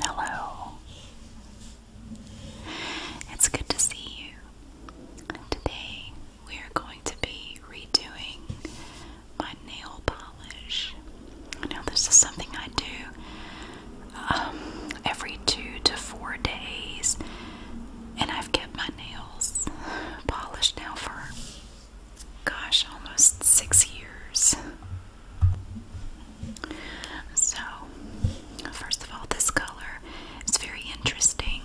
Hello. It's good to see you. Today we are going to be redoing my nail polish. Now, this is something I do um, every two to four days, and I've kept my nails polished now for gosh, almost six years. So, first of all, this color is very interesting.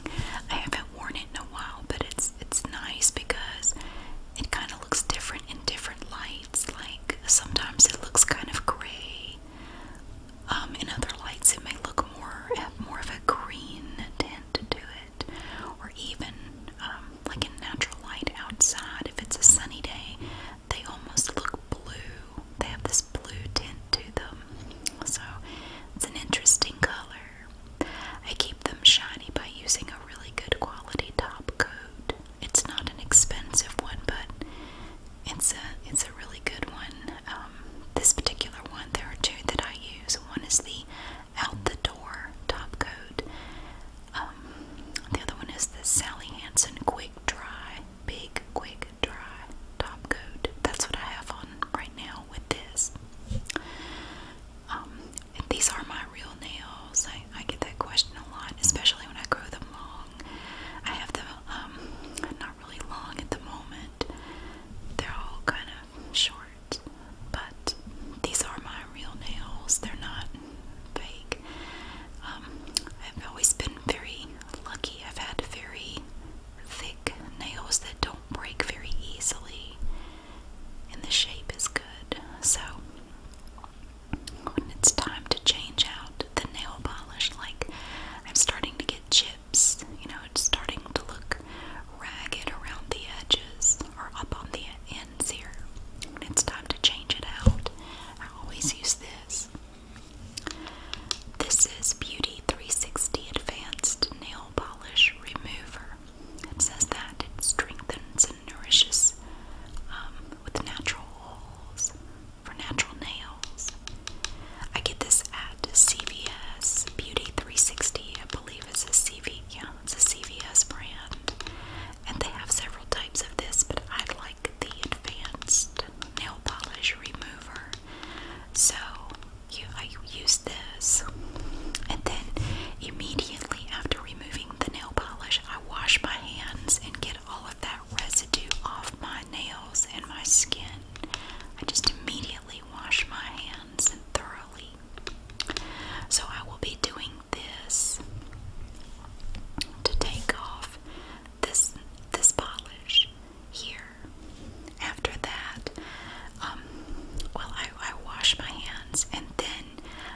I haven't worn it in a while, but it's it's nice because it kind of looks different in different lights. Like sometimes it looks kind of gray. Um, in other lights, it may look more more of a green tint to it or even um, like in natural light outside, if it's a sunny day, they almost look blue. They have this blue tint to them, so it's an interesting color. I keep them shiny by using a really good quality top coat. It's not an expensive one, but it's a it's a really good one. Um, this particular one, there are two that I use. One is the out the Door top coat. Um, the other one is the Sally Hansen Quick Dry, Big Quick Dry top coat. That's what I have on right now with this. Um, these are my real nails. I, I get that question a lot, especially when I grow them long. I have them um, not really long at the moment. They're all kind of short but these are my real nails. They're not fake. Um, I've always been very lucky. I've had very thick nails that don't break very easily, and the shape is good. So, when it's time to change out the nail polish, like I'm starting to get chips, you know, it's starting to look ragged around the edges or up on the ends here. it's time to change it out, I always use this. This is Beauty 360 Advanced Nail Polish Remover. It says that it strengthens and nourishes um, with natural oils for natural nails. I get this at CVS Beauty 360. I believe it's a CVS. It's a CVS brand. And they have several types of this, but I like the advanced nail polish remover. So I use this. And then immediately after removing the nail polish, I wash my hands and get all of that residue off my nails and my skin. I just immediately wash my hands and thoroughly so I will be doing this to take off this this polish here. After that, um, well, I, I wash my hands and then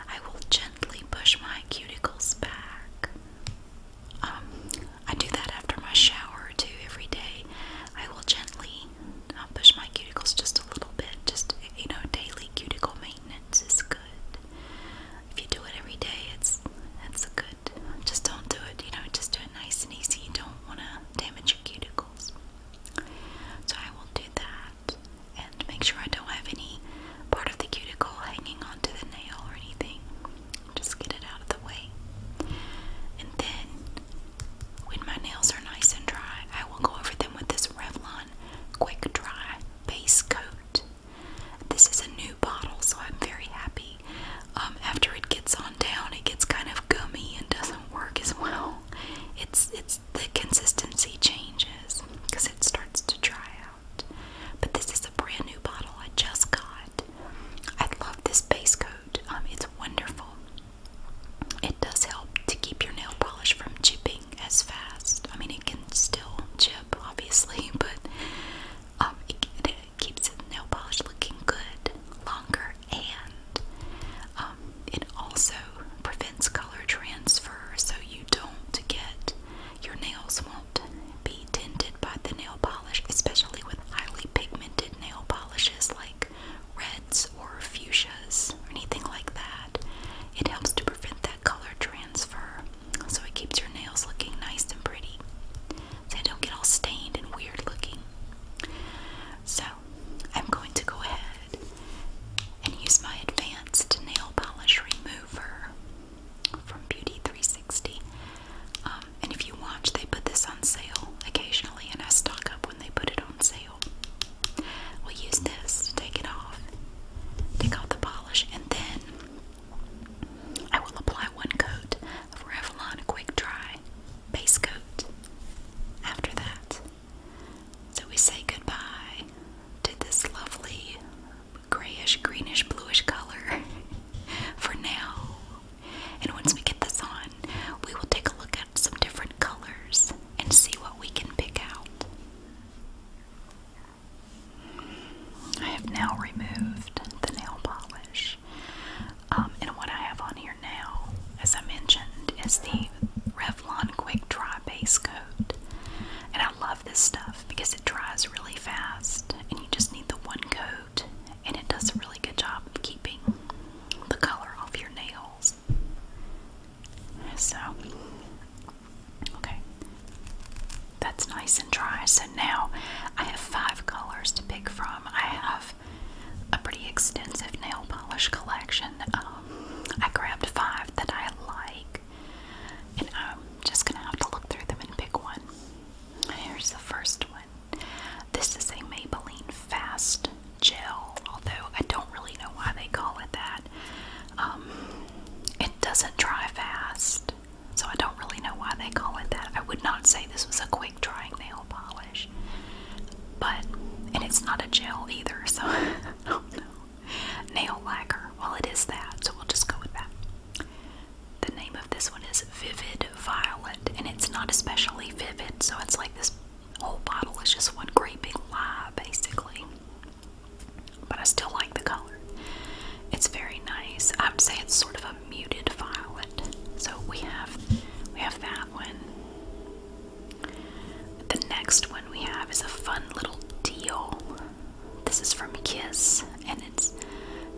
I will gently push my cuticles back. Um, I do that after my shower too every day. I will gently and I push my cuticles just a little bit. Just you know, daily cuticle maintenance is good. If you do it every day, it's that's good. Just don't do it. You know, just do it nice and easy. You don't want to damage your cuticles. So I will do that and make sure I don't have any part of the cuticle hanging onto the nail or anything. Just get it out of the way. And then, when my nails are nice and dry, I will go over them with this Revlon Quick Dry Base Coat. This is a new bottle, so I'm very happy. Um, after it gets on down, it gets kind of gummy and doesn't work as well. It's it's the consistency changes because it starts to dry out. But this is a brand new bottle I just got. I love this base coat. Um, it's wonderful it does help to keep your nail polish from chipping as fast. I mean, it can still chip, obviously, but um, it, keeps nail polish looking good longer, and um, it also prevents color transfer, so you don't get your nails won't be tinted by the nail polish, especially with highly pigmented nail polishes like reds or fuchsias or anything like that. It helps to prevent that color transfer, so it keeps your nails looking nice and pretty, so they don't get all stained and weird looking. So, I'm going to go ahead and use my advanced nail polish remover from Beauty 360. Um, and if you watch, they put this on sale occasionally, and I stock up when they put it on sale. We'll use this to take it off, take off the polish, and then I will apply one coat of Revlon Quick Dry base coat after that. So we say goodbye to this lovely grayish, greenish, bluish color for now. And once we get this on, we will take a look at some different colors and see what we can pick out. I have now removed the nail polish. Um, and what I have on here now, as I mentioned, is the Revlon Quick Dry Base Coat. And I love this stuff because it dries really fast and you just need the one coat and it does a really good job of keeping the color off your nails. So, okay, that's nice and dry. So now I have five colors to pick from. I have a pretty extensive nail polish collection. Um, I grabbed five that I like, and I'm just gonna have to look through them and pick one. Here's the first one. This is a Maybelline Fast gel, although I don't really know why they call it that. Um, it doesn't dry fast, so I don't really know why they call it that. I would not say this was a quick drying nail polish, but and it's not a gel either, so Nail lacquer, well, it is that, so we'll just go with that. The name of this one is Vivid Violet, and it's not especially vivid, so it's like this whole bottle is just one great big lie, basically. But I still like the color. It's very nice. I'd say it's sort of a muted violet. So we have we have that one. The next one we have is a fun little deal. This is from Kiss and it's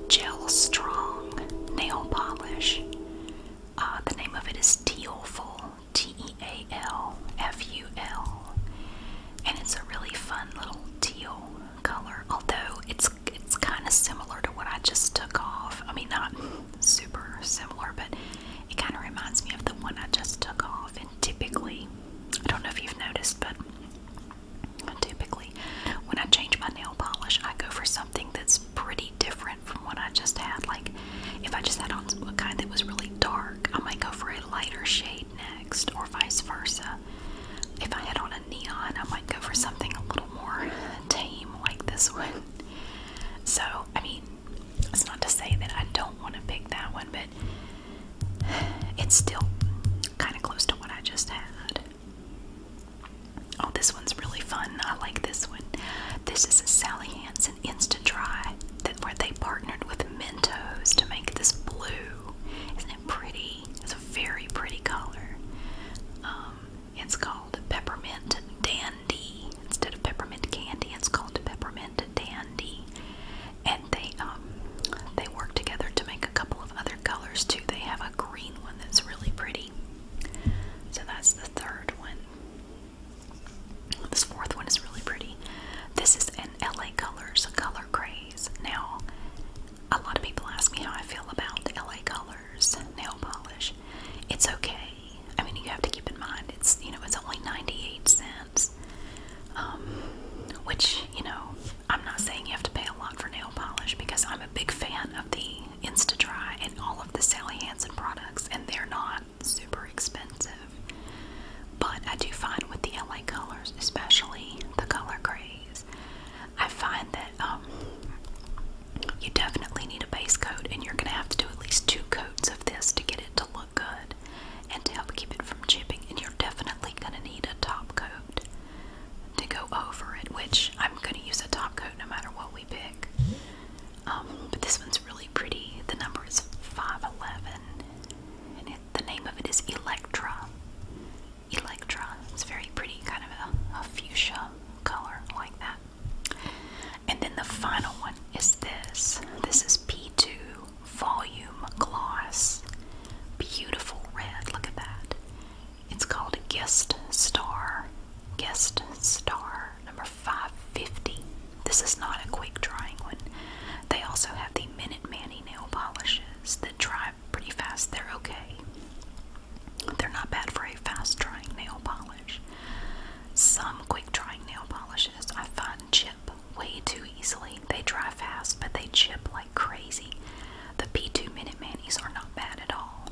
Gel Strong Nail Polish. Uh, the name of it is Dealful. T E A L F U L, and it's a really fun little teal color. Although it's it's kind of similar to what I just took off. I mean, not super similar, but it kind of reminds me of the one I just took off. And typically, I don't know if you've noticed, but typically when I change my nail polish, I go for something that's pretty different from what I just had. Like if I just had on a kind that was really dark I might go for a lighter shade next, or vice versa. If I had on a neon, I might go for something a little more tame like this one. So, I mean, it's not to say that I don't want to pick that one, but it's still kind of close to what I just had. Oh, this one's really fun. I like this one. This is a Sally Hansen instant dry that where they partnered with Mentos to make this blue. Isn't it pretty? It's a very pretty color. Um, it's called peppermint dandy instead of peppermint candy. It's called peppermint dandy, and they um, they work together to make a couple of other colors too. They have a green one that's really pretty. So that's the third one. This fourth one is really pretty. This is an LA Colors color craze. Now, a lot of people ask me how I feel about LA Colors nail polish. It's okay. I mean, you have to keep in mind it's you know it's only 98 cents, um, which you know I'm not saying you have to pay a lot for nail polish because I'm a big fan of the Insta Dry and all of the Sally Hansen products, and they're not super expensive. But I do find with the LA colors, especially the color grays, I find that um, you definitely need a base coat, and you're going to have to do at least two coats of this to get it to look good and to help keep it from chipping. And you're definitely going to need a top coat to go over it, which I'm going to use a top coat no matter what we pick. Um, but this one's really pretty. The number is 511, and the name of it is Electra. Electra. It's very pretty, kind of a, a fuchsia color like that. And then the final one is this. This is P2 Volume Gloss. Beautiful red. Look at that. It's called Guest Star. Guest Star number 5 This is not a quick drying one. They also have the Minute Manny nail polishes that dry pretty fast. They're okay. They're not bad for a fast drying nail polish. Some quick drying nail polishes I find chip way too easily. They dry fast, but they chip like crazy. The P2 Minute Manis are not bad at all.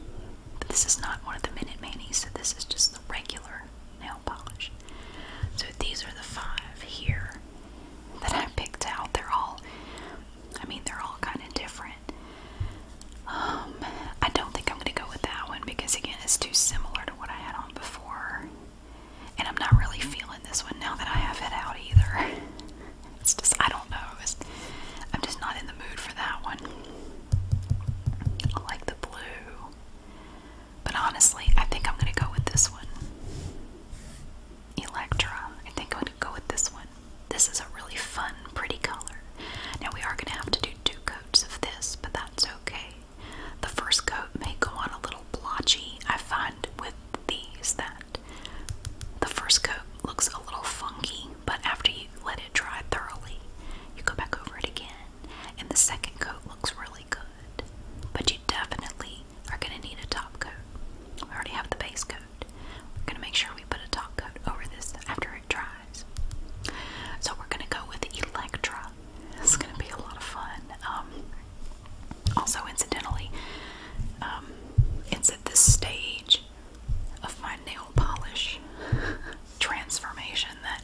But this is not one of the Minute Manis, so this is just the regular nail polish. So these are the five here that I picked out. They're all, I mean, they're all kind of different. Um, I don't think I'm going to go with that one because, again, it's too similar to what I had on before. And I'm not really feeling this one now that I have it out either. It's just, I don't know. It's, I'm just not in the mood for that one. I like the blue. But honestly, I think I'm gonna go with this one. Electra. I think I'm gonna go with this one. This is a really fun, pretty color. Now we are gonna have to do two coats of this, but that's okay. The first coat may go on a little blotchy. I find with these that the first coat looks a little funky, but after you let it dry thoroughly, you go back over it again, and the second coat looks really but you definitely are going to need a top coat. We already have the base coat. We're going to make sure we put a top coat over this after it dries. So we're going to go with Electra. It's going to be a lot of fun. Um, also, incidentally, um, it's at this stage of my nail polish transformation that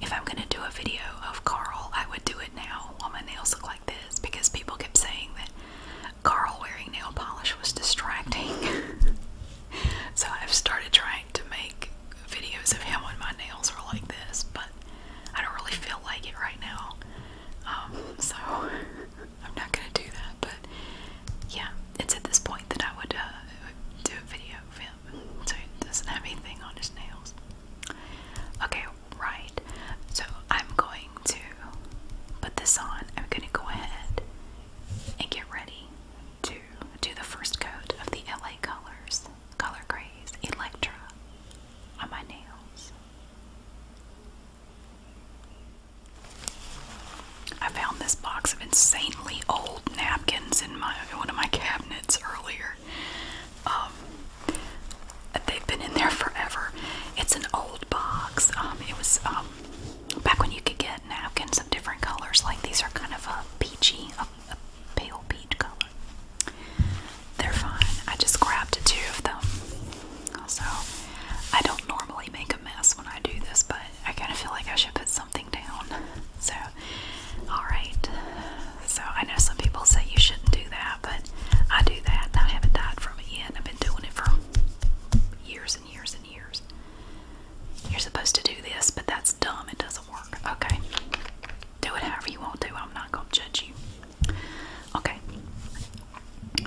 if I'm gonna do a video of Carl, I would do it now while my nails look like this because people kept saying that Carl wearing nail polish was distracting. so I've started trying to make videos of him when my nails are like this, but I don't really feel like it right now. Um, so I'm not gonna do that, but yeah, it's at this point that I would uh, do a video of him so he doesn't have anything on his nails. Okay, right. So I'm going to put this on. I'm going to go ahead and get ready to do the first coat of the LA Colors Color Craze Electra on my nails. I found this box of insanely old napkins in my one of my cabinets earlier they've been in there forever. It's an old box. Um, it was um, back when you could get napkins of different colors. Like these are kind of a peachy, a, pale peach color. They're fine. I just grabbed two of them. Also, I don't normally make a mess when I do this, but I kind of feel like I should put something down. So Alright, so I know some people say you shouldn't do that, but I do that I haven't died from it yet. I've been doing it for years and years and years. You're supposed to do this, but that's dumb. It doesn't work. Okay, do it however you want to. I'm not going to judge you. Okay,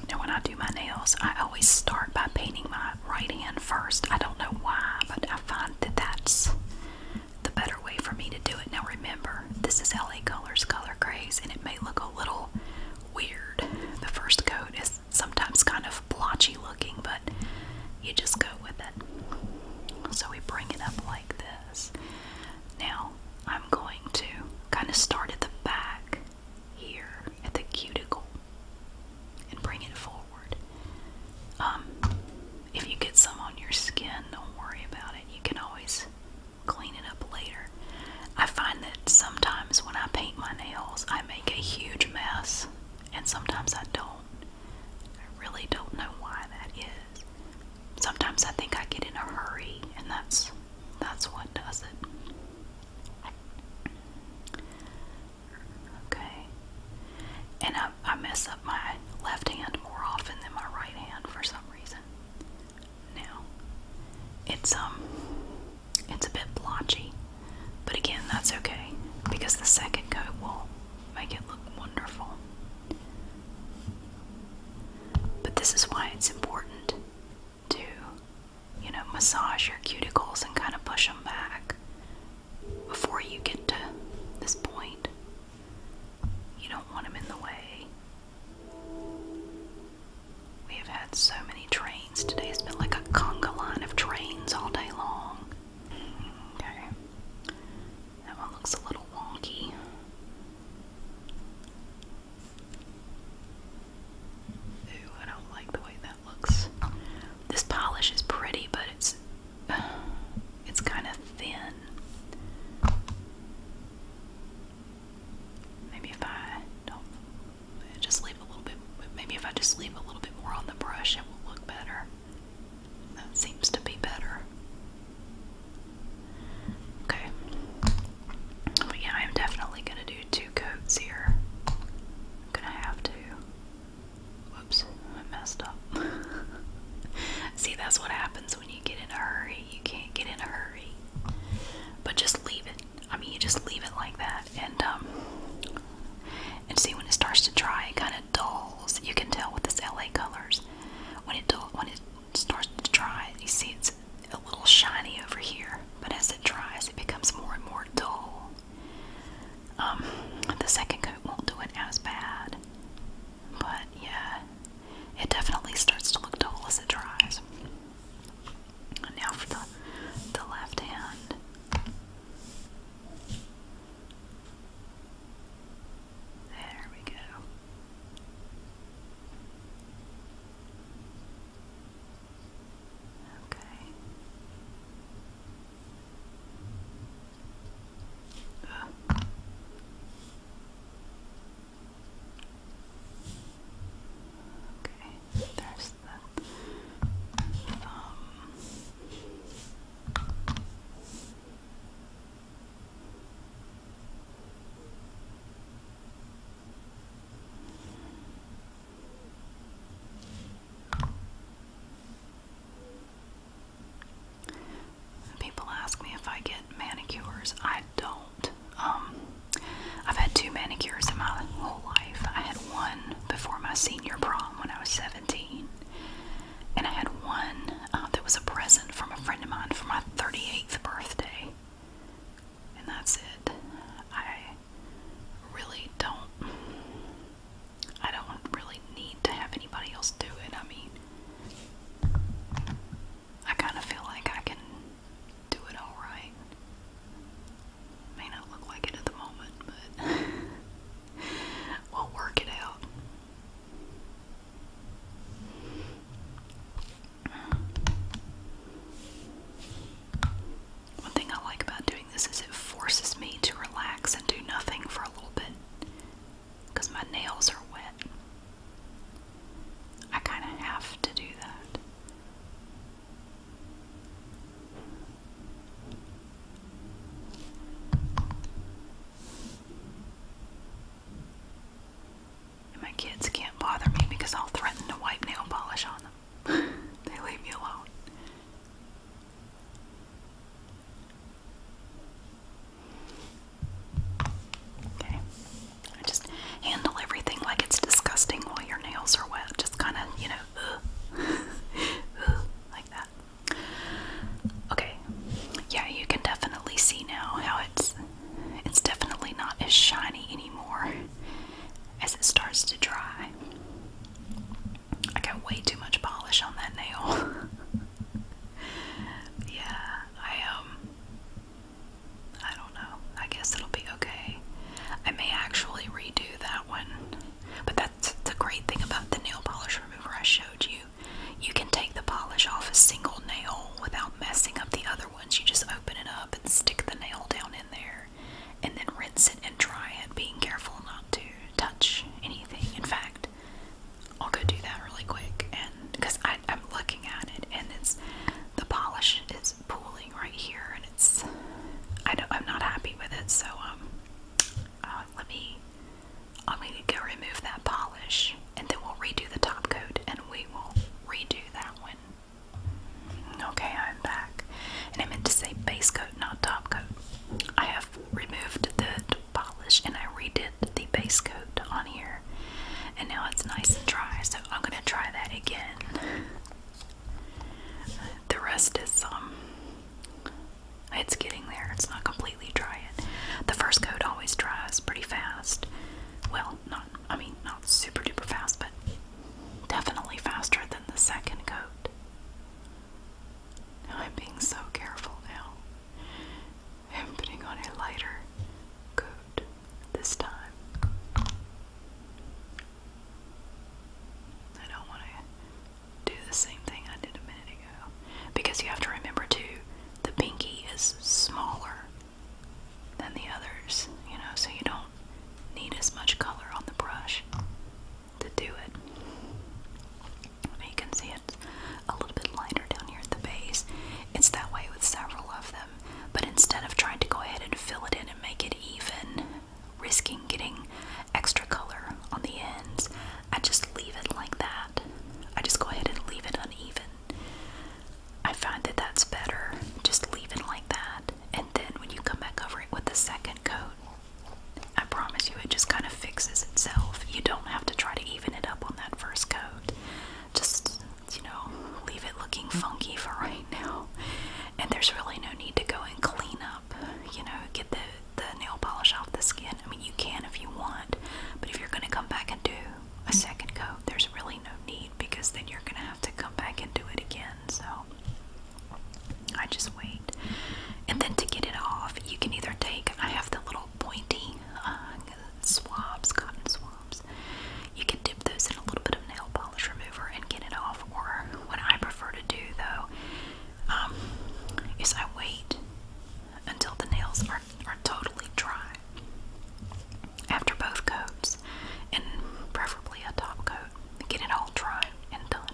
now when I do my nails, I always start by painting my right hand first. I don't know why, but I find that that's the better way for me to do it. Now remember, this is LA Colors Color Grays, and it may look a little weird. The first coat is sometimes kind of blotchy looking, but you just go with it. So we bring it up like this. Now I'm going to kind of start at the back here at the cuticle and bring it forward. Um, if you get some on your skin, don't worry about it. You can always clean it up later. I find that sometimes when I paint my nails, I make a huge mess, and sometimes I don't. I really don't know why that is. Sometimes I think I get in a hurry, and that's that's what does it. Okay. And I, I mess up my left hand more often than my right hand for some reason. Now, it's um, it's a bit blotchy, but again, that's okay because the second coat will make it look wonderful. But this is why it's important to, you know, massage your cuticles and kind of push them back before you get to this point you don't want him in the way. We have had so many trains today. It's been like a conga line of trains all day long. Okay. That one looks a little wonky. Ooh, I don't like the way that looks. This polish is pretty, but it's it's kind of thin. Maybe if I just leave a little bit, maybe if I just leave a little bit more on the brush, it will look better. That seems to be better. Okay. But yeah, I'm definitely going to do two coats here. I'm going to have to. Whoops, I messed up. See, that's what happens when you get in a hurry, you can't get in a hurry. But just leave it. I mean, you just leave it like that, and um, and see when it starts to dry, it kind of dulls. You can tell with this LA colors when it dull, when it starts to dry. You see it's a little shiny over here, but as it dries, it becomes more and more dull. Um, the second coat won't do it as bad. But yeah, it definitely starts to look dull as it dries. now for the the left hand. There we go. Okay. Uh. Okay, there's the thumb. People ask me if I get manicures. I don't. Um, I've had two manicures in my whole life. I had one before my senior prom when I was 17, and I had one uh, that was a present from a friend of mine for my 38th birthday. And that's it. I really don't. I don't really need to have anybody else do it. I mean, I kind of feel like I can do it all right. May not look like it at the moment, but we'll work it out. One thing I like about doing this is it forces me to relax and do nothing for a little bit because my nails are wet. I kind of have to do that. And my kids can't bother me because I'll threaten to wipe nail polish on them. they leave me alone. Okay. I just handle everything like it's disgusting while your nails are wet. Just kind of, you know, like that. Okay. Yeah, you can definitely see now how it's it's definitely not as shiny anymore as it starts to dry. I got way too much polish on that nail. yeah. I um I don't know. I guess it'll be okay. I may actually redo that one. But that's the great thing about the nail polish remover I showed you. You can take the polish off a single nail without messing up the other ones. You just open it up and stick the nail down in there and then rinse it and dry it, being careful not to touch anything. In fact, I'll go do that really quick, and because I'm looking at it, and it's the polish is pooling right here, and it's I don't I'm not happy with it, so um, uh, let me I'm going to go remove that polish, and then we'll redo the top coat, and we will redo that one. Okay, I'm back, and I meant to say base coat, not top coat. I have removed the polish and I redid the base coat on here and now it's nice and dry so I'm gonna try that again the rest is um it's getting there it's not completely dry yet the first coat always dries pretty fast well not I mean not super duper fast but definitely faster than the second coat now I'm being so careful now I'm putting on a lighter coat this time. I don't want to do the same thing I did a minute ago. Because you have to remember, too, the pinky is smaller than the others, you know, so you don't need as much color on the brush to do it. You can see it's a little bit lighter down here at the base. It's that way with several of them. But instead of trying to go ahead and fill it in and make it even, risking getting extra color on the ends, I just leave it like that. I just go ahead and leave it uneven. I find that that's better. Just leave it like that. And then when you come back over it with the second coat, I promise you it just kind of fixes itself. You don't have to try to even it up on that first coat. Just, you know, leave it looking funky for right now. And there's really no need to go and clean up, you know, get the, the nail polish off the skin. I mean, you can if you want, but if you're going to come back and do a second coat, there's really no need because then you're going to have to come back and do it again. So I just wait. And then to get it off, you can either take, I have the little pointy uh, swabs, cotton swabs. You can dip those in a little bit of nail polish remover and get it off. Or what I prefer to do though um, is I wait until the nails are, are totally dry after both coats, and preferably a top coat. Get it all dry and done.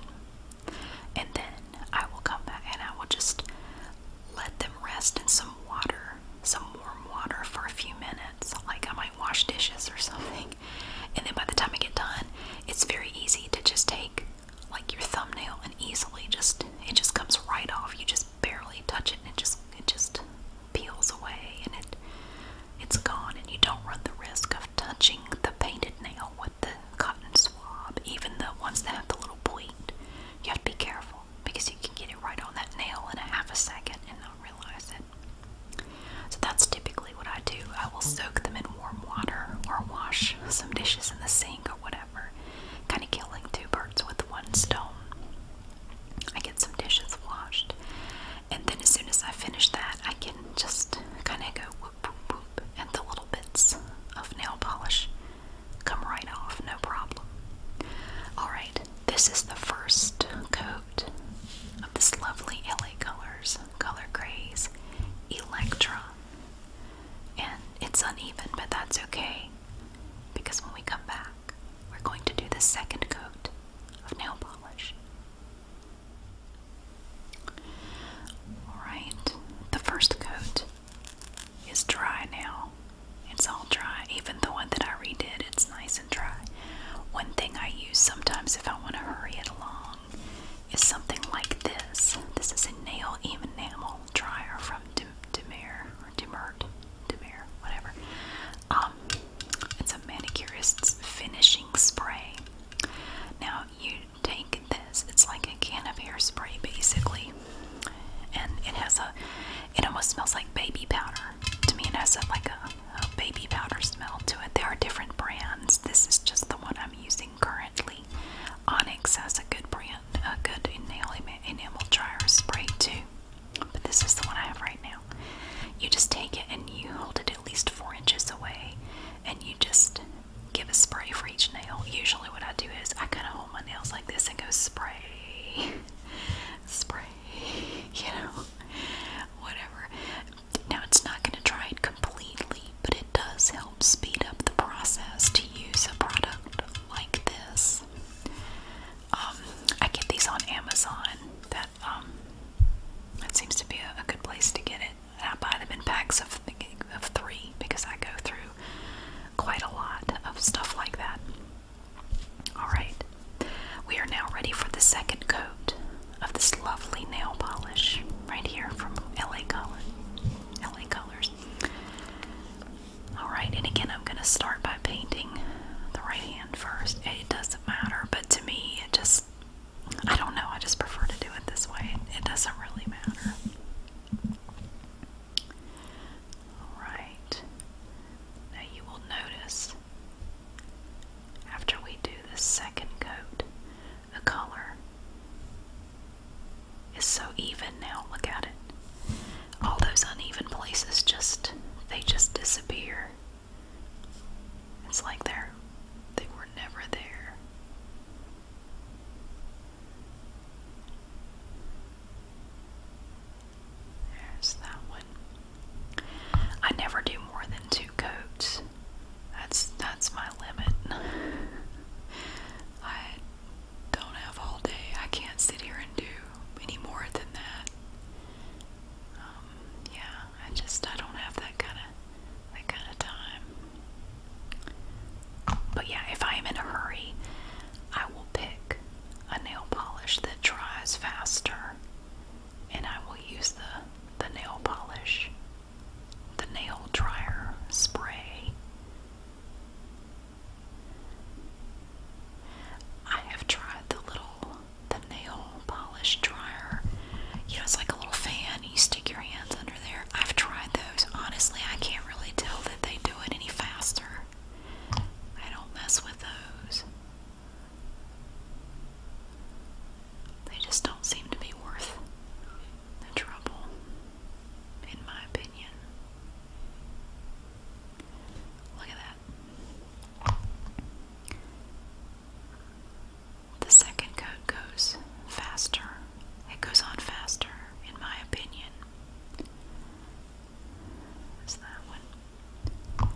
And then I will come back and I will just let them rest in some water, some warm water for a few minutes. Like I might wash dishes or something. And then by the time I get done, it's very easy to just take like your thumbnail and easily just it just comes right off. You just barely touch it and it just it just peels away and it it's gone and you don't run the risk of touching the painted nail with the cotton swab, even the ones that have the little point. You have to be careful because you can get it right on that nail in a half a second and not realize it. So that's typically what I do. I will soak them in warm water or wash some dishes in the sink or whatever, kind of killing two birds with one stone. I get some dishes washed, and then as soon as I finish that, I can just kind of go whoop whoop whoop and the little bits of nail polish come right off, no problem. Alright, this is the first coat of this lovely LA Colors Color Craze Electra. And it's uneven, but that's okay because when we come back, we're going to do the second coat of nail polish. Alright, the first coat it's dry now. It's all dry. Even the one that I redid, it's nice and dry. One thing I use sometimes if I want to hurry it along is something like this. This is a nail enamel dryer from Demere or Demert, Demere, whatever. Um, it's a manicurist's finishing spray. Now you take this. It's like a can of hairspray, basically and it has a it almost smells like baby powder to me it has a, like a, baby powder smell to it there are different brands this is just the one i'm using currently onyx has a good brand a good enamel, enamel dryer spray too but this is the one i have right now you just take it and you hold it at least four inches away and you just give a spray for each nail usually what i do is i kind of hold my nails like this and go spray spray, you know, whatever. Now it's not going to dry it completely, but it does help speed up the process to use a product like this. Um, I get these on Amazon. That um, that seems to be a, a good place to get it. And I buy them in packs of of three because I go through quite a lot of stuff like that. Alright, we are now ready for the second coat of this lovely nail polish right here from LA Color. LA Colors. Alright, and again, I'm going to start by painting the right hand first. It doesn't matter, but to me, it just, I don't know, I just prefer to do it this way. It doesn't really matter. Alright, now you will notice after we do the second coat, the color is so even now. Look at it. All those uneven places just, they just disappear. It's like they're, they were never there. There's that one. I never do more than two coats. That's that's my limit. I don't have all day. I can't sit here and do any more than that. Um, yeah, I just I don't have that kind of that kind of time. But yeah, if I am in a hurry, I will pick a nail polish that dries faster, and I will use the, the nail polish, the nail dryer spray. I have tried the little the nail polish dryer. You know, it's like a little fan. You stick your hands under there. I've tried those. Honestly, I can't really tell that they do it any faster. I don't mess with those. They just don't seem to be worth the trouble, in my opinion. Look at that. The second coat goes faster. It goes on faster, in my opinion. There's that one.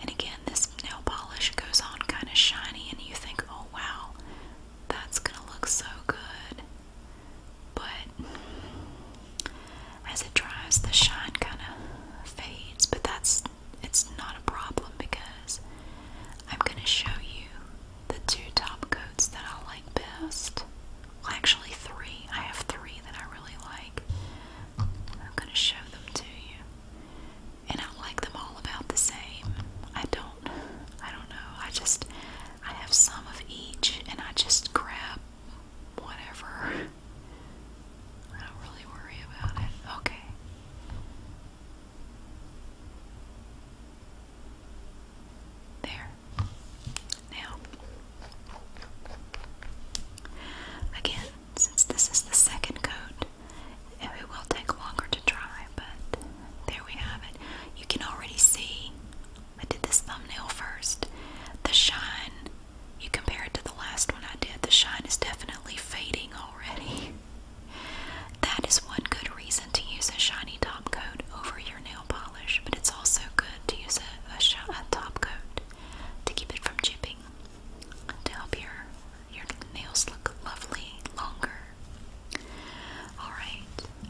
And again, this nail polish goes on kind of shiny, and you think, oh wow, that's gonna look so good. But as it dries, the shine kind of fades, but that's it's not a problem because I'm gonna show you the two top coats that I like best. Well, actually, three. I have three that I really like. I'm going to show them to you. And I like them all about the same. I don't, I don't know. I just, I have some of each and I just grab whatever. I don't really worry about it. Okay. There. Now, again, since this is the second coat, it will take longer to dry, but there we have it. You can already see, I did this thumbnail first. The shine, you compare it to the last one I did, the shine is definitely fading already. That is one good reason to use a shiny top coat over your nail polish, but it's also good to use a, top coat to keep it from chipping to help your your nails look lovely longer. All right,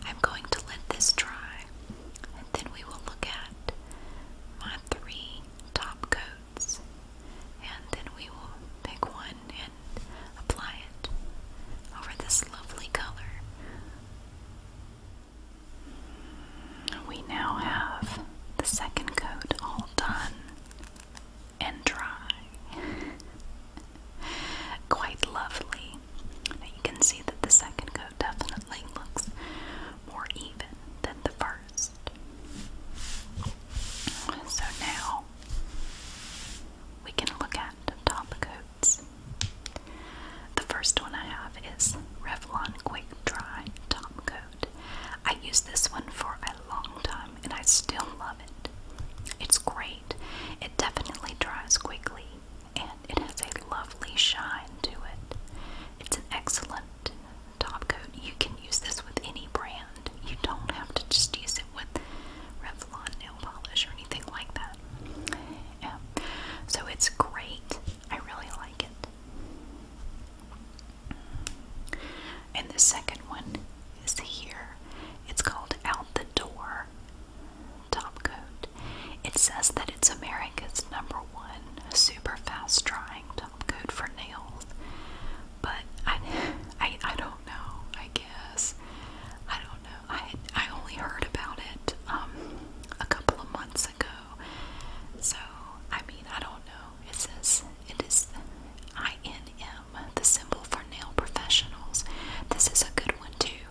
I'm going to let this dry, and then we will look at my three top coats, and then we will pick one and apply it over this lovely color. We now have the second coat all done and dry. Quite lovely. you can see that the second coat definitely looks more even than the first. So now we can look at the top coat the first one I have is Revlon Quick Dry Top Coat. I use this one for a long time and I still love it. It's great. It definitely dries quickly and it has a lovely shine to it. It's an excellent top coat. You can use this with any brand. You don't have to just use it with Revlon nail polish or anything like that. Yeah. So it's great. I really like it. And the second one is here. It's called Out the Door Top Coat. It says that it's America's number one super fast drying top coat for nails. But I, I, I don't know, I guess. I don't know. I I only heard about it um, a couple of months ago. So I mean I don't know. It says it is INM, the symbol for nail professionals. This is a good one too.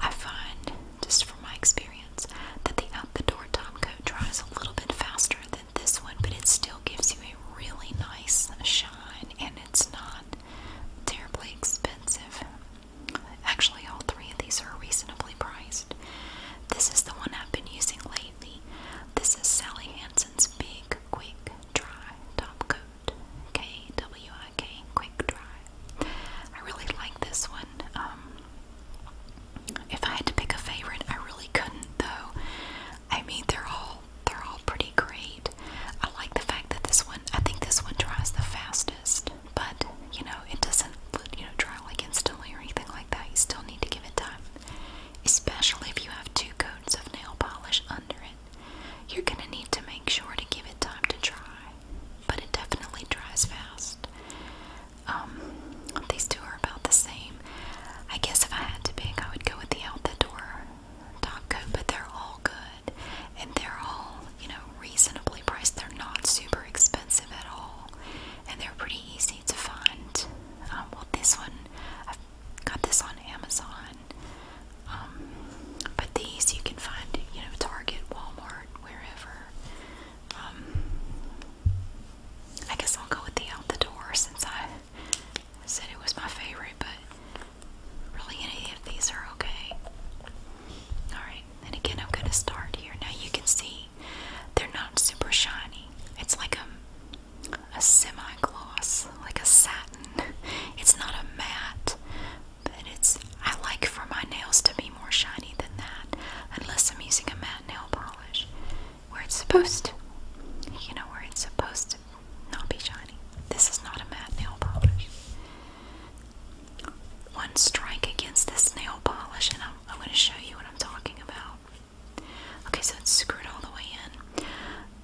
I find just from my experience that the out the door top coat dries a little bit faster than this one, but it still gives you a really nice shine and it's not terribly expensive. Actually, all three of these are reasonably priced. This is the one I've been using lately. This is Sally Hansen's Big Quick Dry Top Coat. K W I K, Quick Dry. I really like this one. Um, if I had to pick a favorite, I really couldn't though. I mean, they're all they're all pretty great. I like the fact that this one. I think this one dries the fastest but you know it doesn't you know dry like instantly or anything like that. You still need to give it time, especially if you have two coats of nail polish under it. You're gonna need to make sure to give it time to dry, but it definitely dries fast. Um, these two are about the same. I guess if I had to pick, I would go with the out the door top coat, but they're all good and they're all you know, reasonably priced. They're not super expensive at all, and they're pretty easy to find. Um, well, this one I've got this on Amazon, um, but these you can find, you know, Target, Walmart, wherever. Um, I guess I'll go with the out the door since I said it was my favorite, but really any of these are okay. Alright and again I'm gonna start here. Now you can see they're not super shiny. It's like a, a semi-gloss, like a satin. It's not a matte, but it's I like for my nails to be more shiny than that, unless I'm using a matte nail polish, where it's supposed to, you know, where it's supposed to not be shiny. This is not a matte nail polish. One strike against this nail polish, and I'm, going to show you what I'm talking about. Okay, so it's screwed all the way in.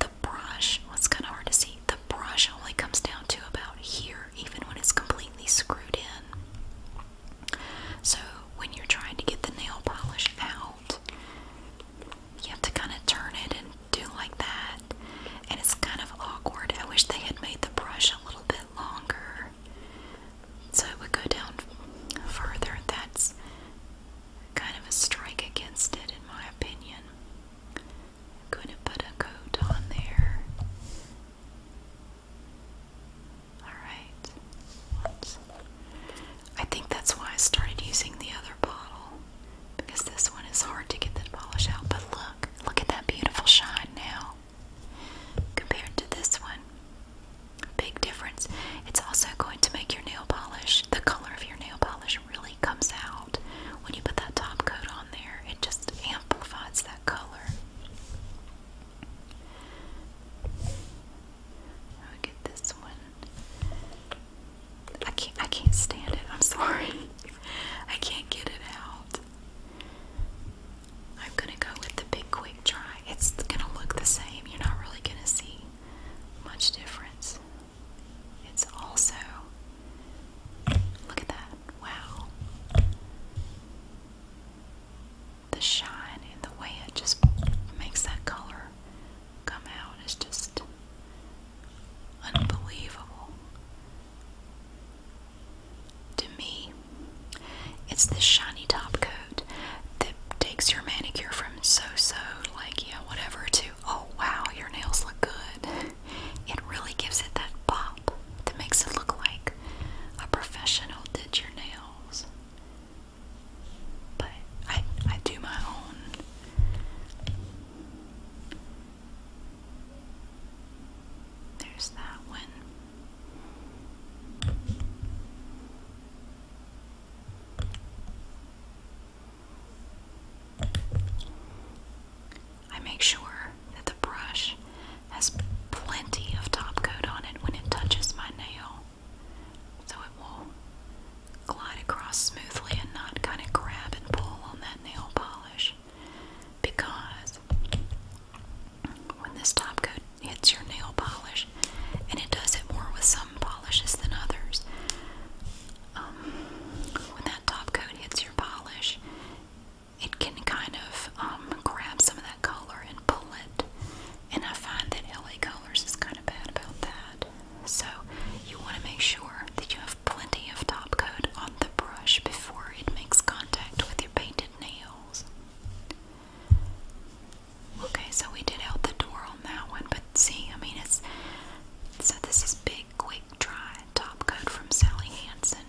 The brush, well, it's kind of hard to see, the brush only comes down to about here, even when it's completely screwed in. So when you're trying to get the nail polish out, you have to kind of turn it and do like that. And it's kind of awkward. I wish they had made the brush a little bit longer. So it would go down further. That's kind of a strike against it, in my opinion. going to put a coat on there. Alright. I think that's why I started using the other bottle because this one is hard to get the polish out. But look, look at that beautiful shine now compared to this one. Big difference. It's also going to make your nail polish, the color of your nail polish really comes out when you put that top coat on there. It just amplifies that color. I'll get this one. I can't I can't stand it. I'm sorry. I can't get it out. I'm gonna go with the big quick dry. It's gonna look the same. You're not really gonna see much difference. It's also look at that. Wow. The shine and the way it just makes that color come out is just unbelievable. To me, it's this shiny top coat that takes your manicure from so so, like, yeah, whatever, to oh wow, your nails look good. It really gives it that pop that makes it look like a professional did your nails. But I, I do my own. There's that one. I make sure that the brush has plenty of top coat on it when it touches my nail so it will glide across smoothly and not kind of grab and pull on that nail polish because when this top coat hits your nail polish, and it does it more with some polishes than others, um, when that top coat hits your polish, it can kind of um, grab some of that color and pull it. And I find that LA Colors is kind of bad about that. So you want to make sure that you have plenty of top coat on the brush before it makes contact with your painted Okay, so we did out the door on that one, but see, I mean, it's so this is big, quick dry top coat from Sally Hansen,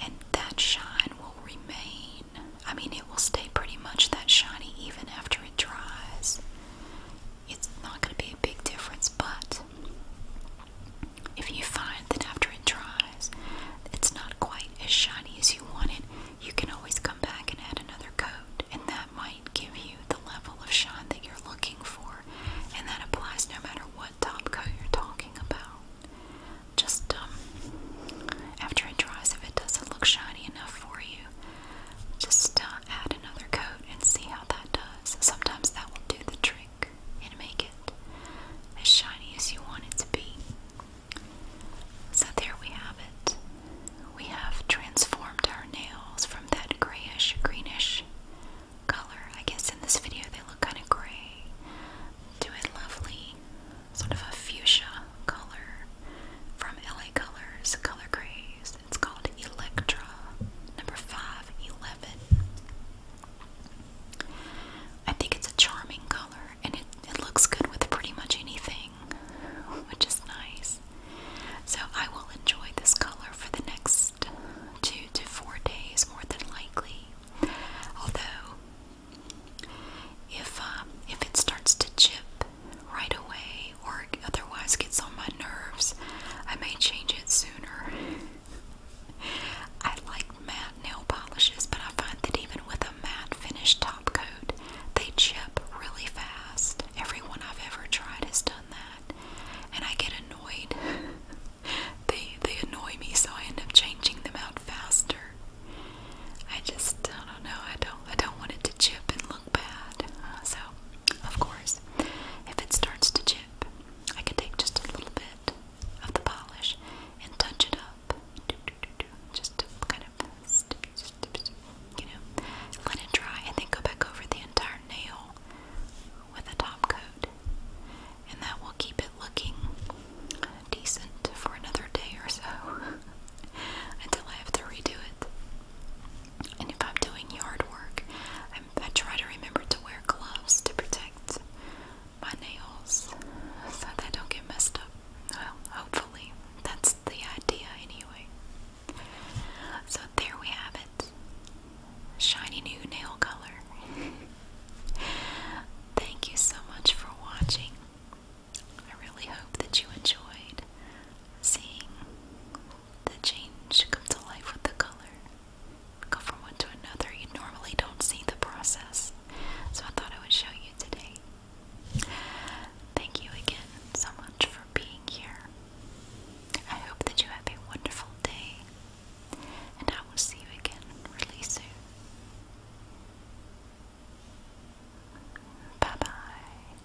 and that shine will remain. I mean, it will stay pretty much that shiny even after it dries. It's not going to be a big difference, but if you find that after it dries, it's not quite as shiny as you want it, you can always come back and add another coat, and that might give you the level of shine that you're looking for, and that applies no matter what top coat you're talking about. Just um, after it dries, if it doesn't look shiny enough for you, just uh, add another coat and see how that does. Sometimes that will do the trick work and make it as shiny as you want it to be. So there we have it. We have transformed our nails from that grayish, greenish color. I guess in this video they look kind of gray to a lovely sort of a fuchsia color from LA Colors Color Grays. It's called Electra number 511. I think it's a charming color and it, it looks good with pretty much anything, which is nice. So I will enjoy this color for the next two to four days, more than likely. Although, if um, if it starts to chip right away or otherwise gets on my nerves, I may change it sooner. I like matte nail polishes, but I find that even with a matte finish top coat, they chip really fast. Everyone I've ever tried has done that, and I get annoyed. they they annoy me, so I end up changing them out faster. I just I don't know. I don't I don't want it to chip and look bad. so, of course, if it starts to chip, I can take just a little bit of the polish and touch it up. Just kind of, you know, let it dry and then go back over the entire nail with a top coat. And that will keep it looking decent for another day or so until I have to redo it. And if I'm doing yard work, I try to remember to wear gloves to protect my nails so they don't get messed up. Well, hopefully. That's the idea, anyway. So there we have it. Shiny new nail color. Thank you so much for watching. I really hope that you enjoyed seeing the change come to life with the color go from one to another. You normally don't see the process, so I thought I would show you today. Thank you again so much for being here. I hope that you have a wonderful day, and I will see you again really soon. Bye bye.